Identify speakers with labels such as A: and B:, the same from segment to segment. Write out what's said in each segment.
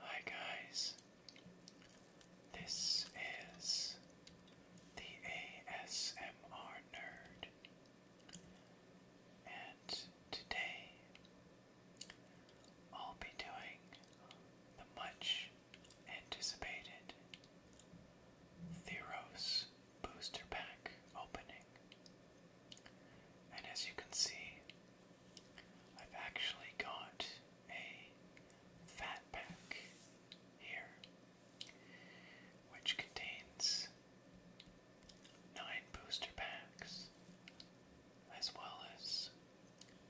A: Hi guys, this is the ASMR Nerd, and today I'll be doing the much anticipated Theros booster pack opening. And as you can see, I've actually got a fat pack here, which contains nine booster packs as well as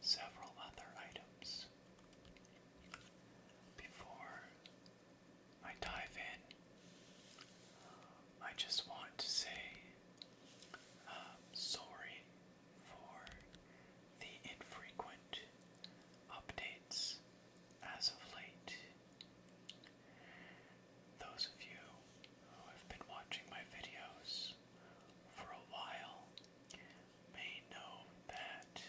A: several other items. Before I dive in, I just want to say um, sorry for the infrequent updates as of late. Those of you who have been watching my videos for a while may know that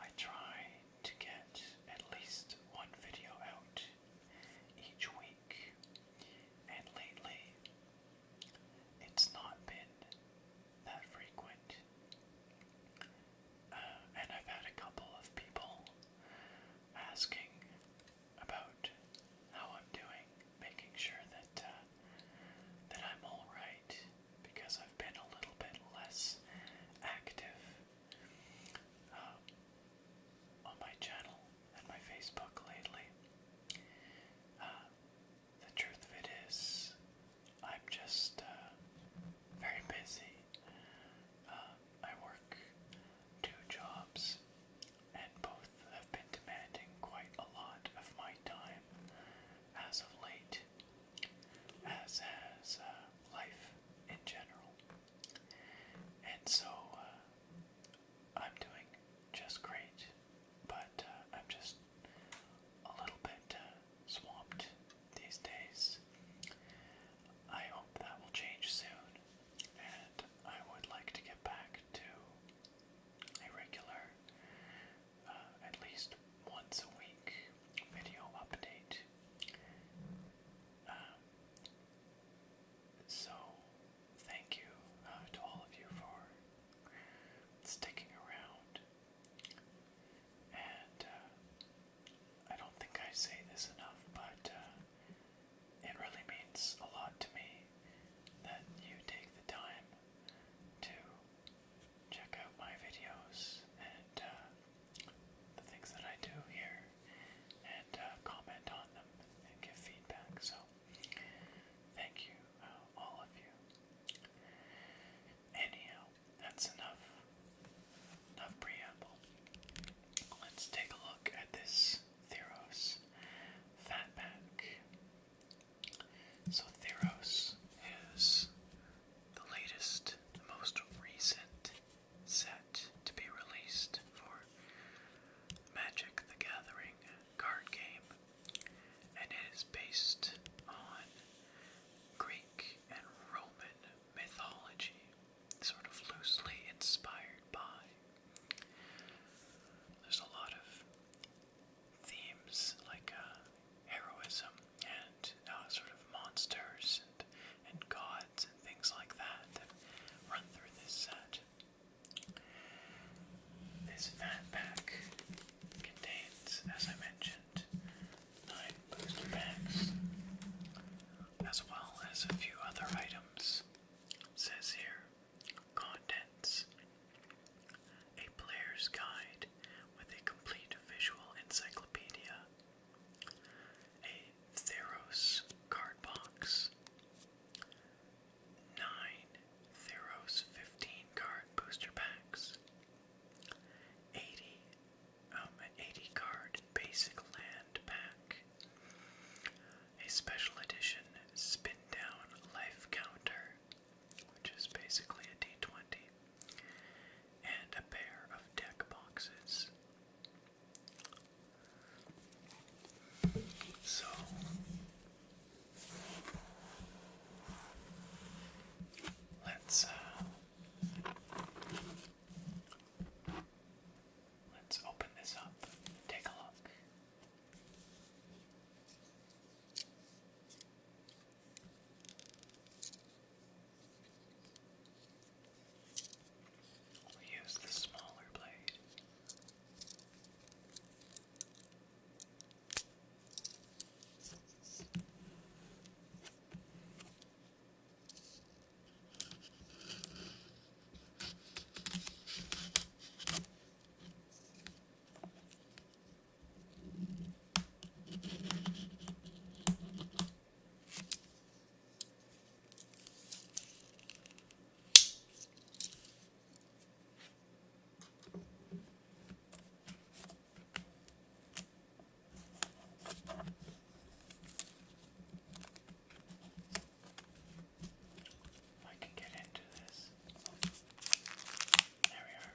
A: I try to get at least one video out each week, and lately it's not been that frequent. Uh, and I've had a couple of people asking about how I'm doing, making sure that uh, that I'm all right because I've been a little bit less active uh, on my channel and my Facebook lately. Uh, the truth of it is, I'm just uh, very busy. I work two jobs, and both have been demanding quite a lot of my time as of late as as uh, life in general. And so uh, I'm doing just great, but uh, I'm just a little bit swamped these days. I hope that will change soon, and I would like to get back to a regular, at least once a week video update. Um, so, thank you uh, to all of you for sticking around. And uh, I don't think I say this enough, but uh, it really means a lot to me that you take the time to check out my videos and the things that I do here and uh, comment on them and give feedback. So, thank you, uh, all of you. Anyhow, that's enough. Enough preamble. Let's take a look at this Theros Fatback. So Theros is the latest, the most recent set to be released for Magic the Gathering card game, and it is based on Greek and Roman mythology, sort of loosely inspired by. There's a lot of themes like uh, heroism uh, sort of monsters and, gods and things like that that run through this set. This fat pack contains, as I mentioned, nine booster packs, as well as a few other items. says here, contents. A player's guide with a complete visual encyclopedia a Theros card box, nine Theros 15 card booster packs, 80, um, 80 card basic land pack, a special edition spin down life counter, which is basically a d20, and a pair of deck boxes. So let's uh, let's open this up take a look. We use the smaller blade. I can get into this. There we are.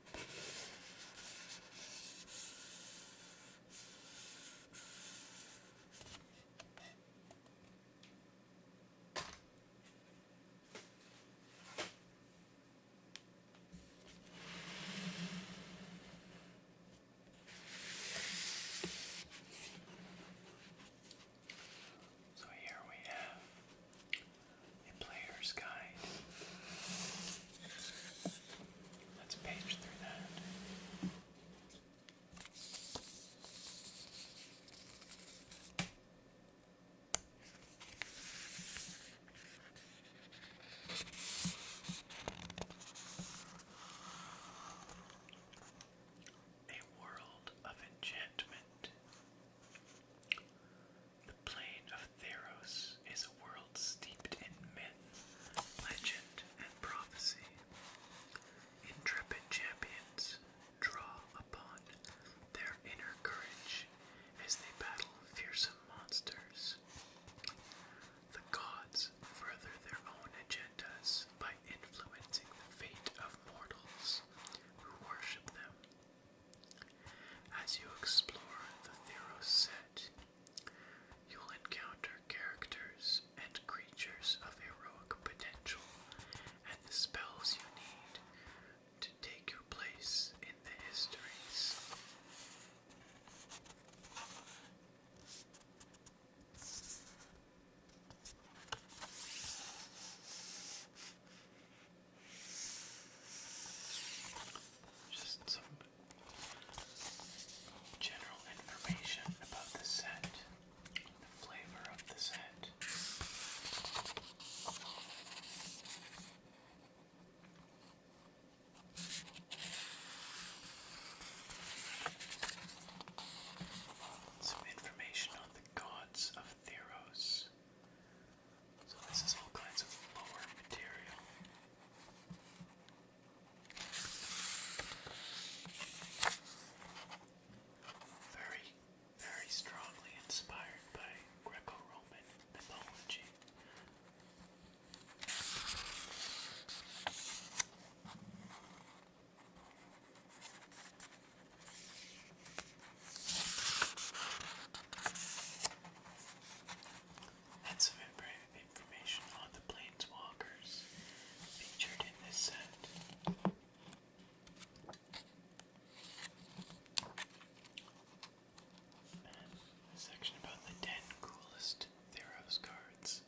A: So here we have a player's guide Let's page through that. A world of enchantment. The plain of Theros is a world steeped in myth, legend, and prophecy. Intrepid champions draw upon their inner courage as they battle fearsome monsters. The gods further their own agendas by influencing the fate of mortals who worship them. As you explore the Theros set, You'll encounter characters and creatures of heroic potential and the spells you need to take your place in the histories. Just General information about the set, the flavor of the set. Some information on the gods of Theros. So, this is all kinds of lower material. Very, very strongly inspired by Greco Roman mythology. That's a very information on the planeswalkers featured in this set. And a section about the 10 coolest Theros cards.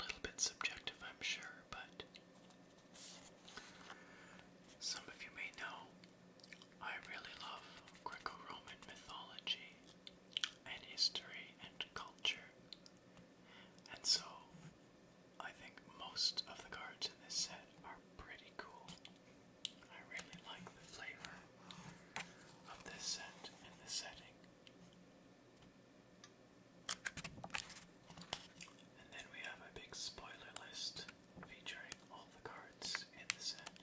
A: A little bit subjective, I'm sure, but some of you may know I really love Greco Roman mythology and history and culture, and so I think most of the cards in this set are pretty cool. I really like the flavor of this set and the setting. And then we have a big spoiler list featuring all the cards in the set.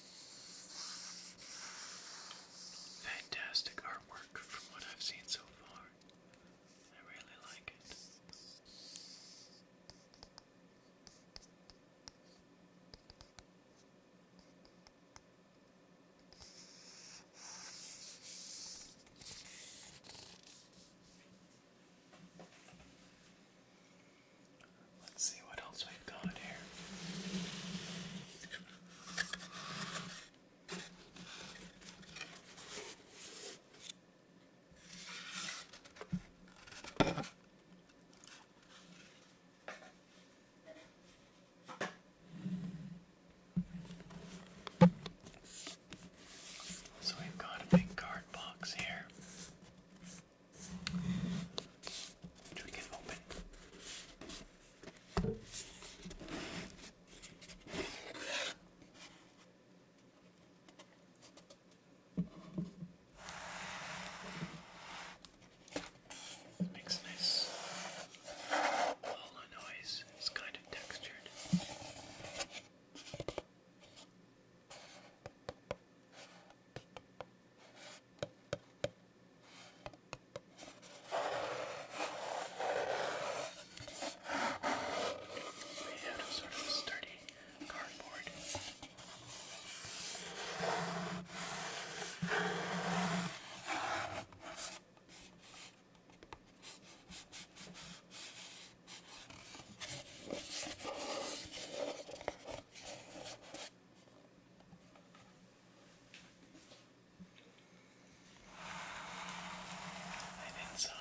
A: Fantastic artwork from what I've seen so far. I really like it. Let's see what else we've got here. So we've got a big card box here, which we can open. It makes a nice hollow noise. It's kind of textured. Made out of sort of sturdy cardboard. And inside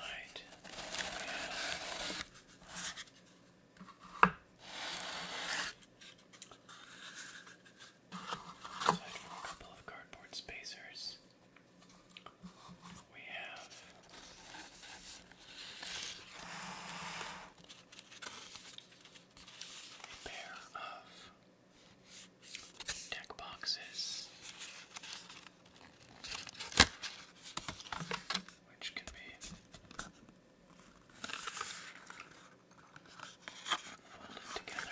A: Aside from a couple of cardboard spacers, we have a pair of deck boxes, which can be folded together.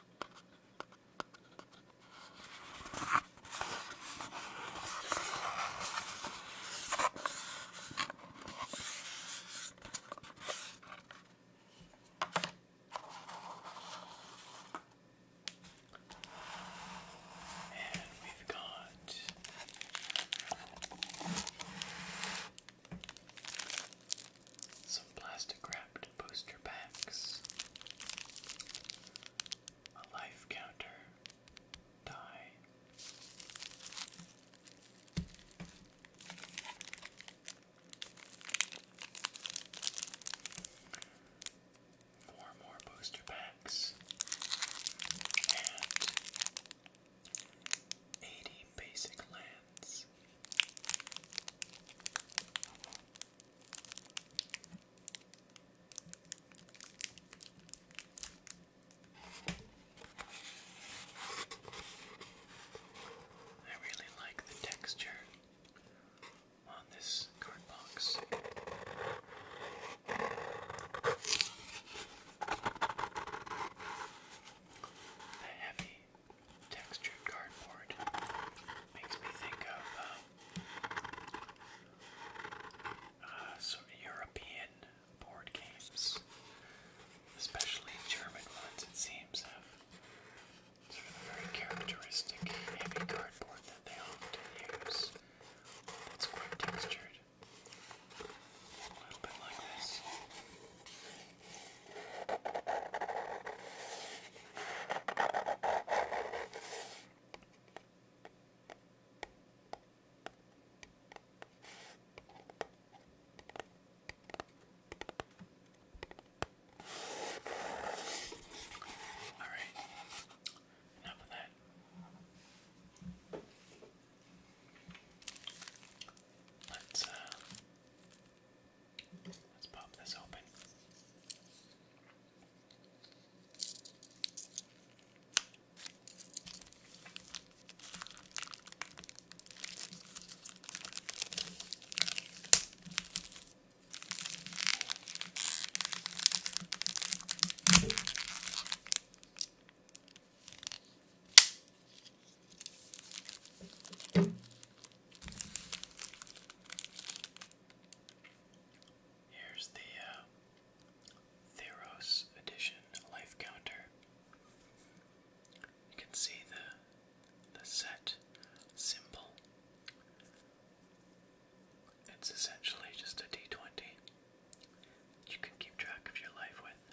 A: And we've got some plastic wrapped booster packs, a life counter, die, four more booster packs, and 80 basic lands this. I really like the texture on this card box. The heavy textured cardboard. Makes me think of um, uh, sort of European board games, especially German ones. It seems have sort of a very characteristic heavy cardboard that they often use. That's quite textured. A little bit like this. All right, enough of that. Let's uh, Let's pop this open. Here's the uh, Theros Edition life counter. You can see the the set symbol. It's essentially just a d20 you can keep track of your life with.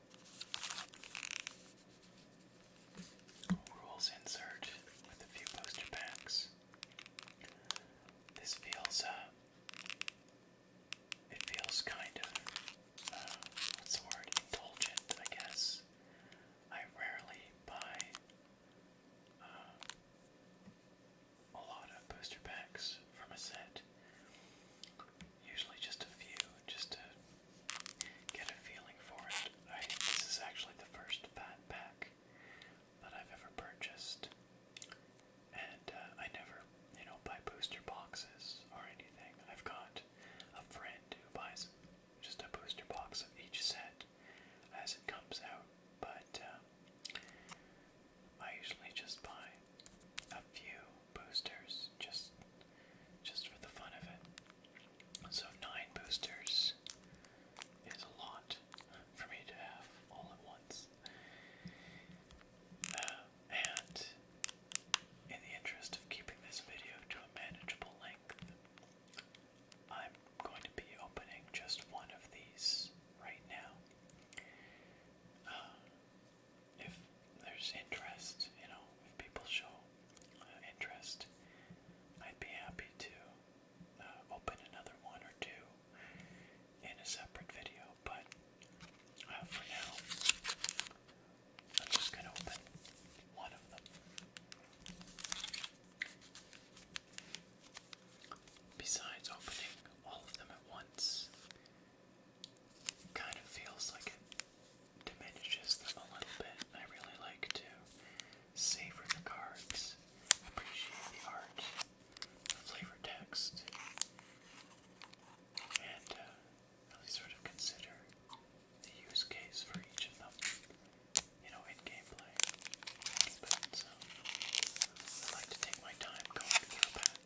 A: Rules insert with a few poster packs. This feels, uh, it feels kind of, uh, what's the word, indulgent, I guess. I rarely buy uh, a lot of poster packs from a set. Usually just a few, just to get a feeling for it. I, this is actually the first fat pack that I've ever purchased, and uh, I never, you know, buy booster boxes or anything. I've got a friend who buys just a booster box of each set as it comes out, but uh, I usually just buy a few boosters just just for the fun of it. So, nine boosters is a lot for me to have all at once. Uh, and in the interest of keeping this video to a manageable length, I'm going to be opening just one of these right now. Uh, if there's interest, you know, if people show uh, interest, I'd be happy to uh, open another one or two in a separate video, but uh, for now, I'm just going to open one of them. Besides opening all of them at once, kind of feels like it diminishes them a little bit. I really like to savor the cards, appreciate the art, flavor text, and uh, really sort of consider the use case for each of them, you know, in gameplay. so, um, I like to take my time going through back.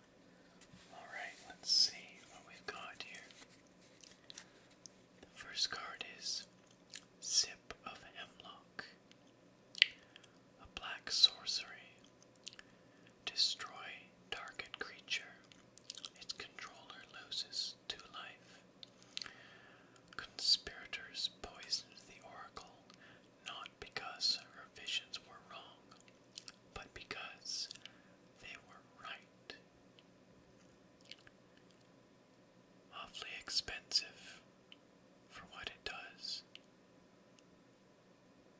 A: Alright, let's see what we've got here. The first card is Zip of Hemlock, a black sorcery. Destroy target creature. Its controller loses two life. Conspirators poisoned the oracle not because her visions were wrong, but because they were right. Awfully expensive for what it does,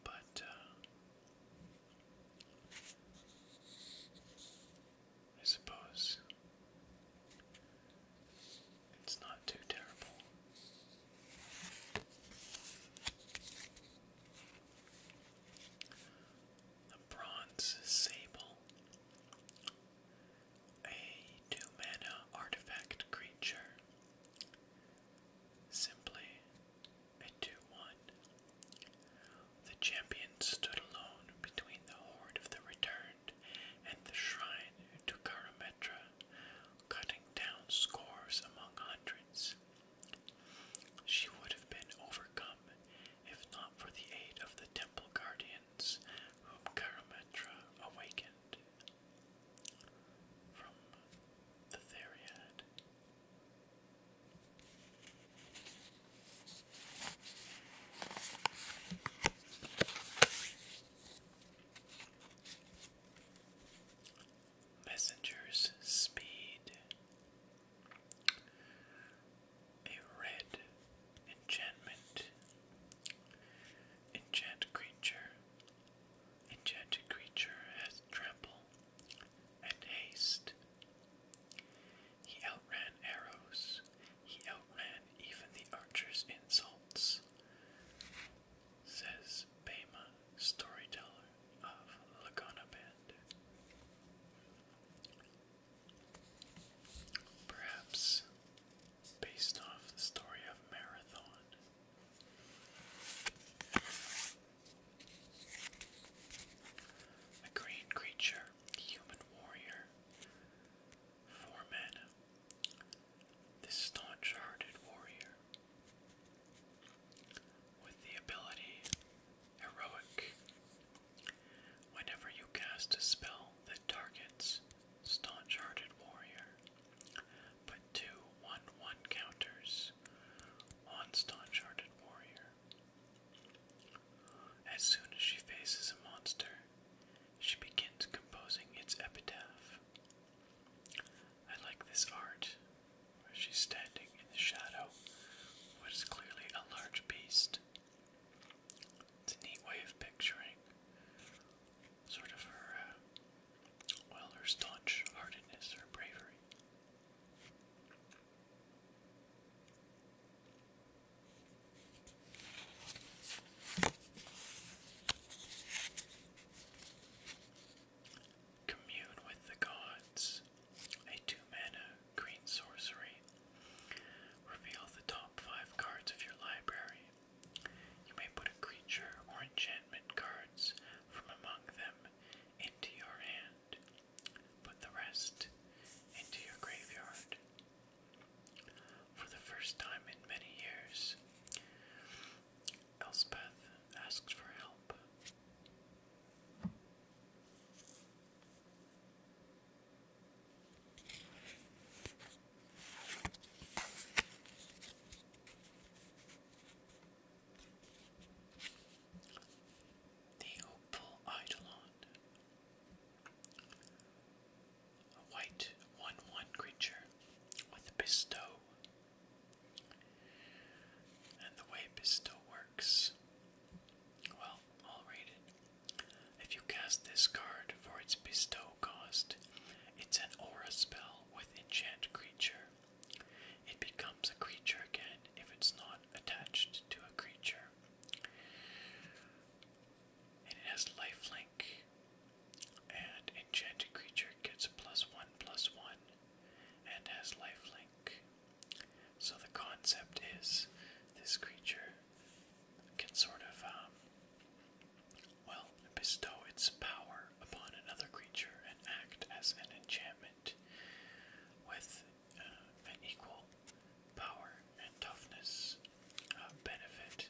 A: but uh, I suppose it's not too terrible a bronze sable, a two mana artifact creature, simply a 2 1. The champion stood alone between the horde of the returned and the shrine to Karametra, cutting down scores among hundreds. She would have been overcome if not for the aid of the temple guardians whom Karametra awakened from the Theriad messenger's speed. A red enchantment. Enchant creature. Enchanted creature has trample and haste. He outran arrows. He outran even the archer's insults, says Bema, storyteller of Laguna Bend. Perhaps based off the story of Marathon. A green creature, human warrior, four men. This staunch hearted warrior with the ability Heroic. Whenever you cast a spell that targets Staunch Hearted Warrior, put two counters on Staunch Hearted Warrior. As soon as she faces a monster, she begins composing its epitaph. I like this art where she's standing in the shadow of what is clearly a large beast. It's a neat way of picturing sort of her, uh, well, her staunch heartedness, her bravery. Commune with the Gods, a two mana green sorcery. Reveal the top five cards of your library. You may put a creature or enchantment cards from among them into your hand. Put the rest into your graveyard. For the first time in many years, Elspeth asks for help. The Opal Eidolon, a white 1 1 creature with a Bestow. And the way Bestow works well, i If you cast this card for its bestow cost, it's an aura spell with enchant creature. It becomes a creature again if it's not attached to a creature. And it has life link. And enchanted creature gets plus one plus one and has life link. So the concept is this creature can sort of, um, well, bestow its power upon another creature and act as an enchantment with uh, an equal power and toughness uh, benefit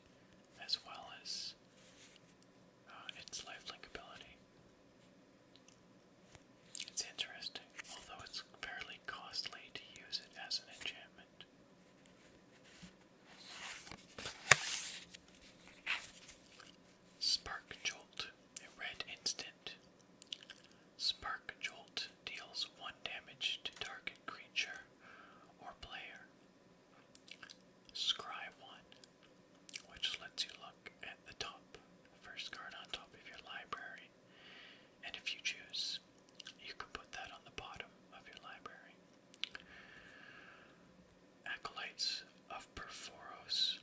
A: as well as uh, its lifelink ability. It's interesting, although it's fairly costly to use it as an enchantment. Spark Jolt, a red instant. Spark Jolt deals 1 damage to target creature or player. Scry 1, which lets you look at the top, first card on top of your library, and if you choose, you can put that on the bottom of your library. Acolytes of Perforos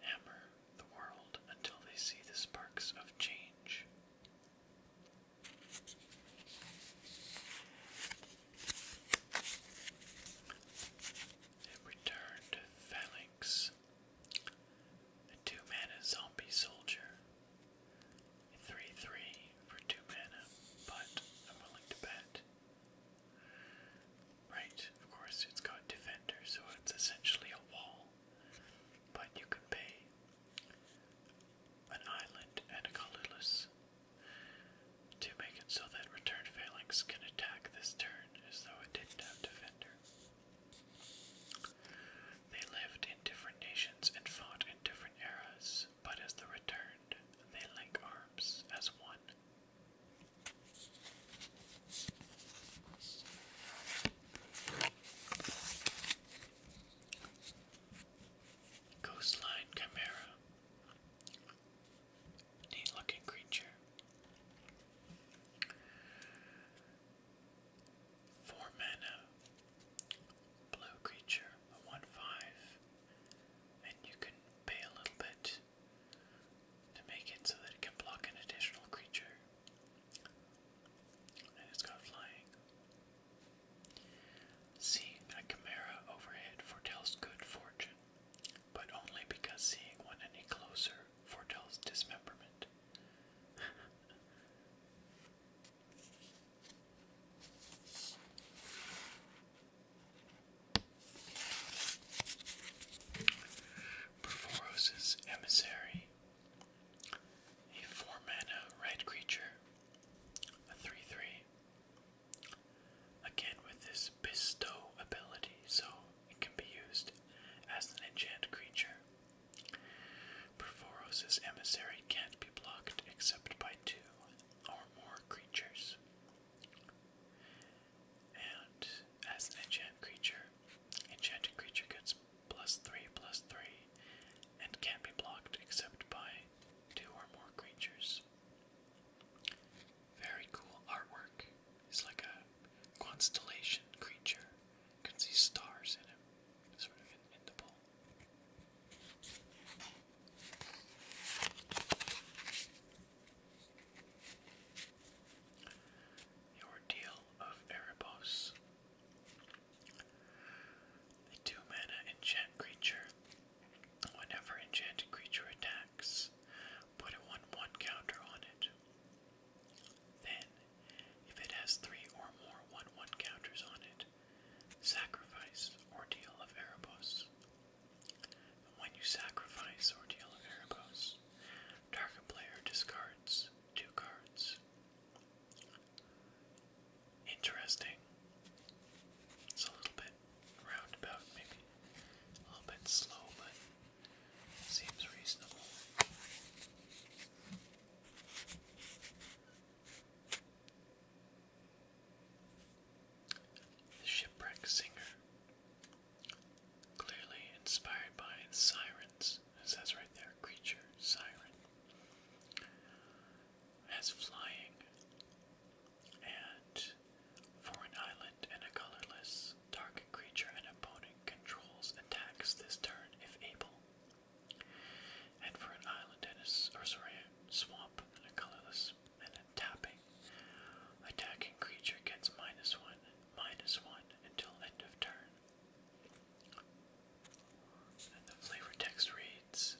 A: hammer the world until they see the sparks of change. It returned Phalanx two mana zombie soldier. 3 3 for two mana, but I'm willing to bet. Right, of course, it's got defender, so it's essentially a wall. But you can pay an island and a colorless to make it so that Return Phalanx can attack this turn as though it didn't have defender. They lived in different nations and fought in different eras, but as they returned, they link arms as one. Coastline Chimera. Neat looking creature. Four mana, uh, blue creature, one five, and you can pay a little bit to make it so that it can block an additional creature. And it's got flying. Seeing a Chimera overhead foretells good fortune, but only because seeing one any closer foretells dismemberment. Perforos' emissary, a four mana red creature, a three three. Again with this bestow ability, so it can be used as an enchant creature. Perforos's emissary can't be blocked except by two or more creatures. And as an enchant creature, enchanted creature gets plus three plus three and can't be blocked except by two or more creatures. Very cool artwork. It's like a constellation creature you can see stars in him, sort of in, the bowl. The Ordeal of Erebos. The two mana enchant creature. Whenever enchanted creature attacks, put a 1 1 counter on it. Then, if it has three or more 1 1 counters on it, sacrifice Ordeal of Erebos. When you sacrifice Ordeal of Erebos, target player discards two cards. Interesting. It's a little bit roundabout, maybe. A little bit slow, but seems reasonable. The Shipwreck Singer. Clearly inspired by sirens, it says right there, creature, siren. Has flying and for an island and a colorless, dark creature an opponent controls attacks this turn if able. And for an island and a, or sorry, swamp and a colorless and a tapping, attacking creature gets minus one, minus one until end of turn. And the flavor text reads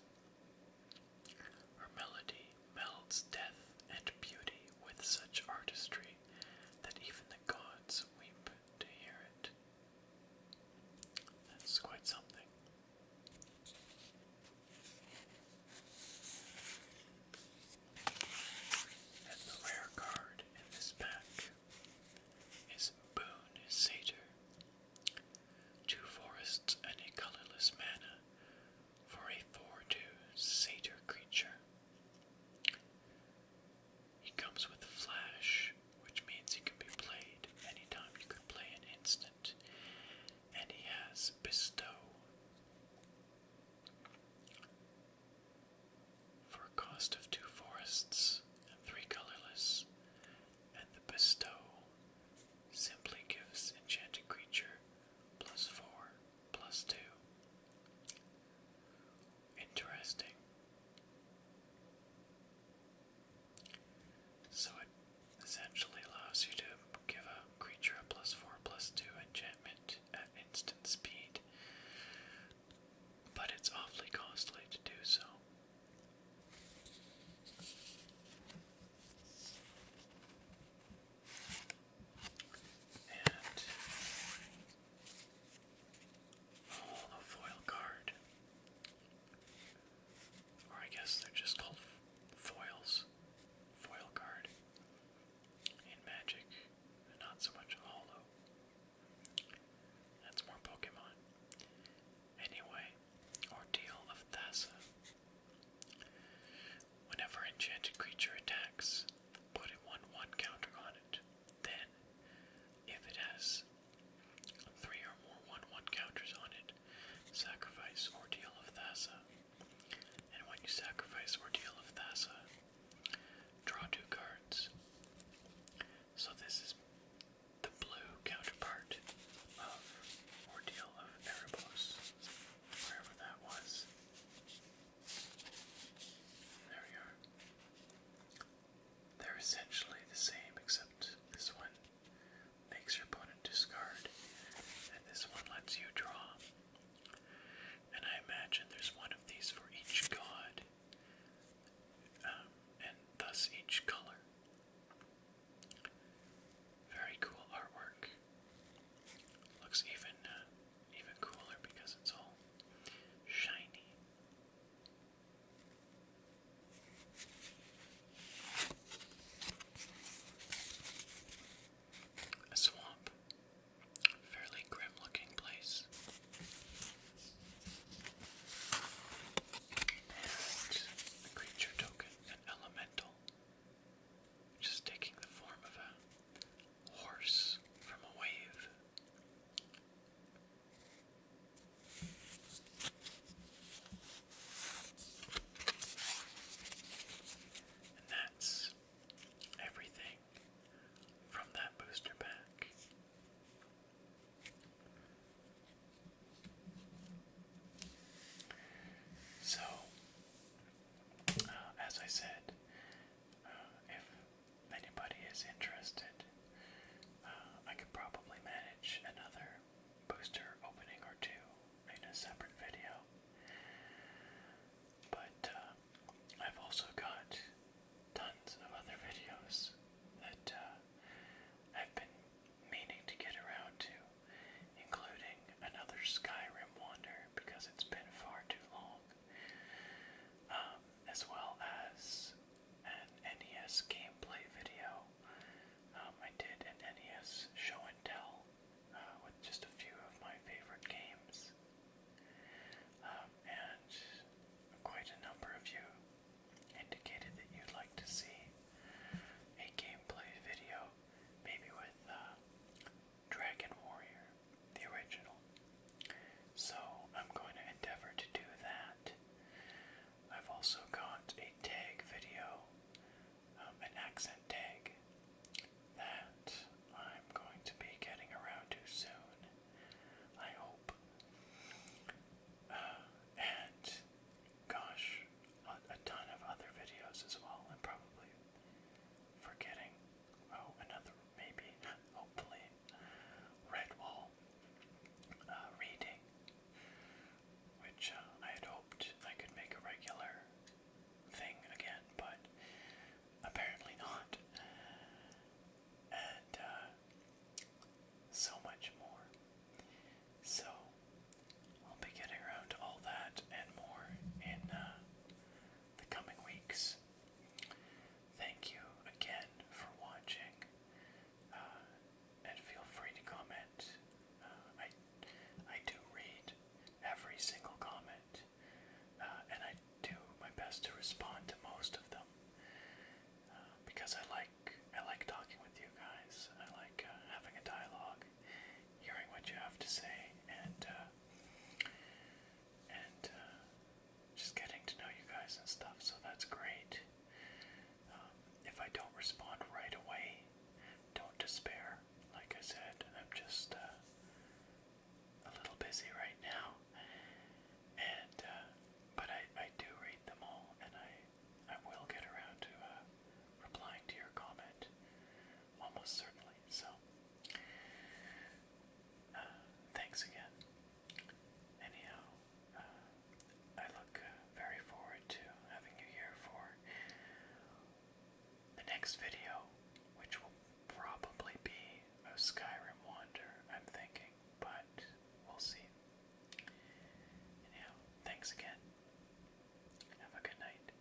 A: Her melody melds death and beauty with such artistry that even the gods weep to hear it. That's quite something. And the rare card in this pack is Boon Satyr. Two forests and a colorless mana for a 4 2 Satyr creature. He comes with Flash, which means he can be played anytime. You can play an instant. And he has Bestow. For a cost of two forests and three colorless, and the bestow simply gives enchanted creature plus four plus two. Interesting. So it essentially allows you to give a creature a plus four plus two enchantment at instant speed. But it's awfully costly to do so. Oh, foil card. Or I guess they're just called foils. Foil card. In Magic, not so much Hollow. That's more Pokemon. Anyway, Ordeal of Thassa. Whenever enchanted creature attacks, put a 1 1 counter on it. Then, if it has three or more 1 1 counters on it, sacrifice Ordeal of Thassa. And when you sacrifice Ordeal of Thassa, draw two cards. So, this is the blue counterpart of Ordeal of Erebos, wherever that was. There we are. They're essentially the same, except this one makes your opponent discard, and this one lets you draw. And I imagine there's one of these for each god, um, and thus each color. Very cool artwork. Looks even uh, even cooler because it's all shiny. A swamp. Fairly grim looking place. And a creature token, an elemental, which taking the form of a horse from a wave. And that's everything from that booster pack. So, uh, as I said, uh, if anybody is interested, uh, I could probably manage another booster opening or two in a separate video. But uh, I've also got tons of other videos that uh, I've been meaning to get around to, including another Skyrim Wander because it's been far too long. Um, as well as an NES gameplay video. Um, I did an NES show and tell uh, with just a few of my favorite games. Um, and quite a number of you indicated that you'd like to see a gameplay video, maybe with uh, Dragon Warrior, the original. So I'm going to endeavor to do that. I've also got a tag video, um, an accent tag, that I'm going to be getting around too soon, I hope. Uh, and gosh, a, a ton of other videos as well. and probably forgetting. Oh, another maybe, hopefully, Redwall uh, reading, which uh, I had hoped I could make a regular thing again, but apparently not. And uh, so much more. So I'll be getting around all that and more in the coming weeks. Thank you again for watching. Uh, and feel free to comment. Uh, I I do read every single comment, uh, and I do my best to respond to most of them because I like I like talking with you guys. I like having a dialogue, hearing what you have to say, and and just getting to know you guys and stuff. So that's great. Um, if I don't respond right away, don't despair. Like I said, I'm just uh, a little busy right now, and uh, but I I do read them all, and I I will get around to uh, replying to your comment, almost certainly. So. thanks again. Anyhow, uh, I look uh, very forward to having you here for the next video, which will probably be a Skyrim Wander, I'm thinking, but we'll see. Anyhow, thanks again. Have a good night.